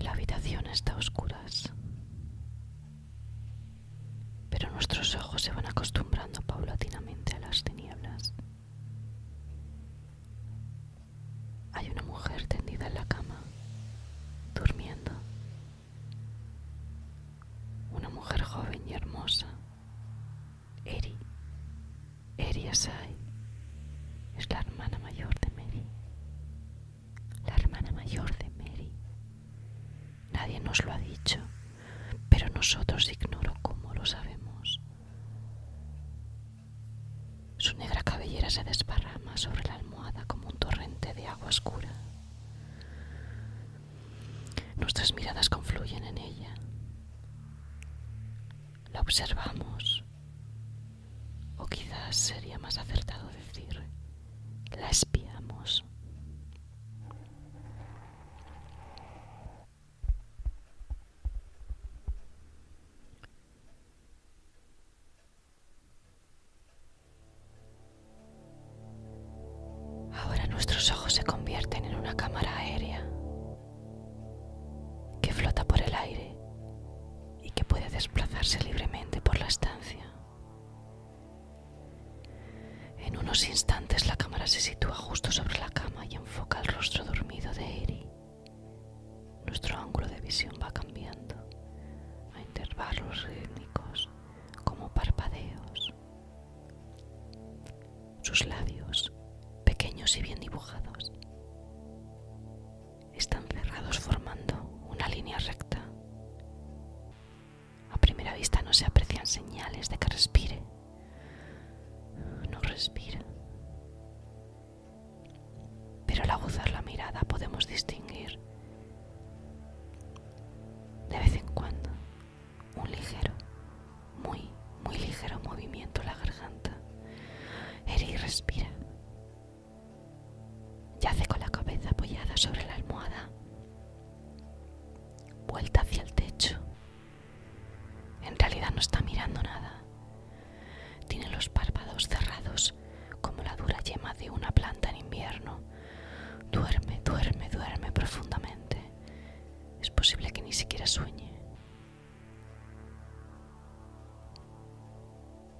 La habitación está a oscuras, pero nuestros ojos se van acostumbrando paulatinamente a las tinieblas. Hay una mujer tendida en la cama, durmiendo. Una mujer joven y hermosa. Eri. Eri Asai es la hermana mayor de Mary. La hermana mayor de Mary. Nadie nos lo ha dicho pero nosotros ignoro cómo lo sabemos. Su negra cabellera se desparrama sobre la almohada como un torrente de agua oscura. Nuestras miradas confluyen en ella. La observamos, o quizás sería más acertado decir, la espiamos. Ahora nuestros ojos se convierten en una cámara aérea que flota por el aire y que puede desplazarse libremente por la estancia. En unos instantes la cámara se sitúa justo sobre la cama y enfoca el rostro dormido de Eri. Nuestro ángulo de visión va cambiando a intervalos rítmicos como parpadeos. Sus labios, pequeños y bien dibujados, están cerrados formando una línea recta. A primera vista no se aprecian señales de que respire. No respira. Pero al aguzar la mirada podemos distinguir de vez en cuando un ligero, muy, muy ligero movimiento en la garganta. Eri respira. Yace con la cabeza apoyada sobre la almohada, vuelta hacia el techo. En realidad no está mirando nada. Tiene los párpados cerrados como la dura yema de una planta en invierno. Duerme, duerme, duerme profundamente. Es posible que ni siquiera sueñe.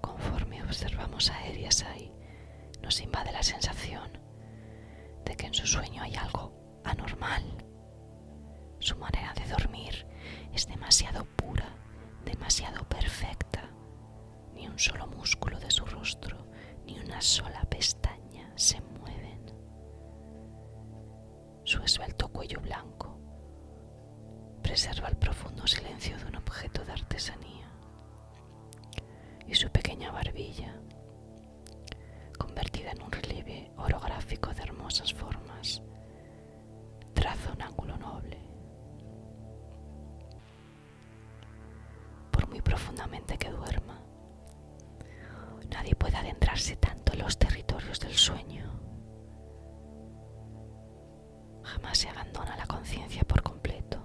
Conforme observamos a ahí, nos invade la sensación de que en su sueño hay algo anormal. Su manera de dormir es demasiado pura, demasiado perfecta. Ni un solo músculo de su rostro, ni una sola pestaña se mueven su esbelto cuello blanco. Preserva el profundo silencio de un objeto de artesanía y su pequeña barbilla, convertida en un relieve orográfico de hermosas formas, traza un ángulo noble. Por muy profundamente que duerma, Nadie puede adentrarse tanto en los territorios del sueño. Jamás se abandona la conciencia por completo,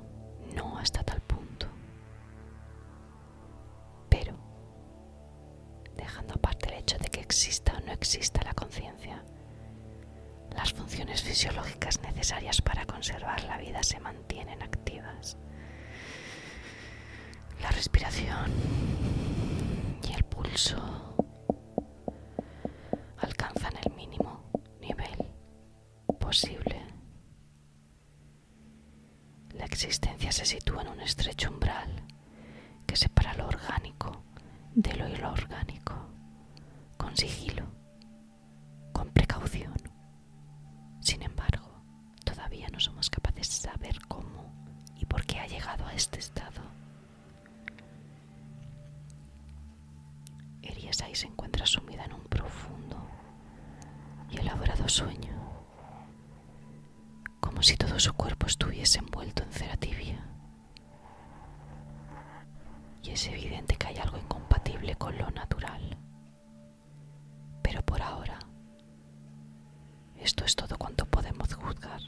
no hasta tal punto. Pero, dejando aparte el hecho de que exista o no exista la conciencia, las funciones fisiológicas necesarias para conservar la vida se mantienen activas la respiración y el pulso alcanzan el mínimo nivel posible. La existencia se sitúa en un estrecho umbral que separa lo orgánico de lo inorgánico, con sigilo, con precaución sin embargo, todavía no somos capaces de saber cómo y por qué ha llegado a este estado. ahí se encuentra sumida en un profundo y elaborado sueño, como si todo su cuerpo estuviese envuelto en cera tibia. Y es evidente que hay algo incompatible con lo natural pero por ahora, esto es todo cuanto podemos juzgar.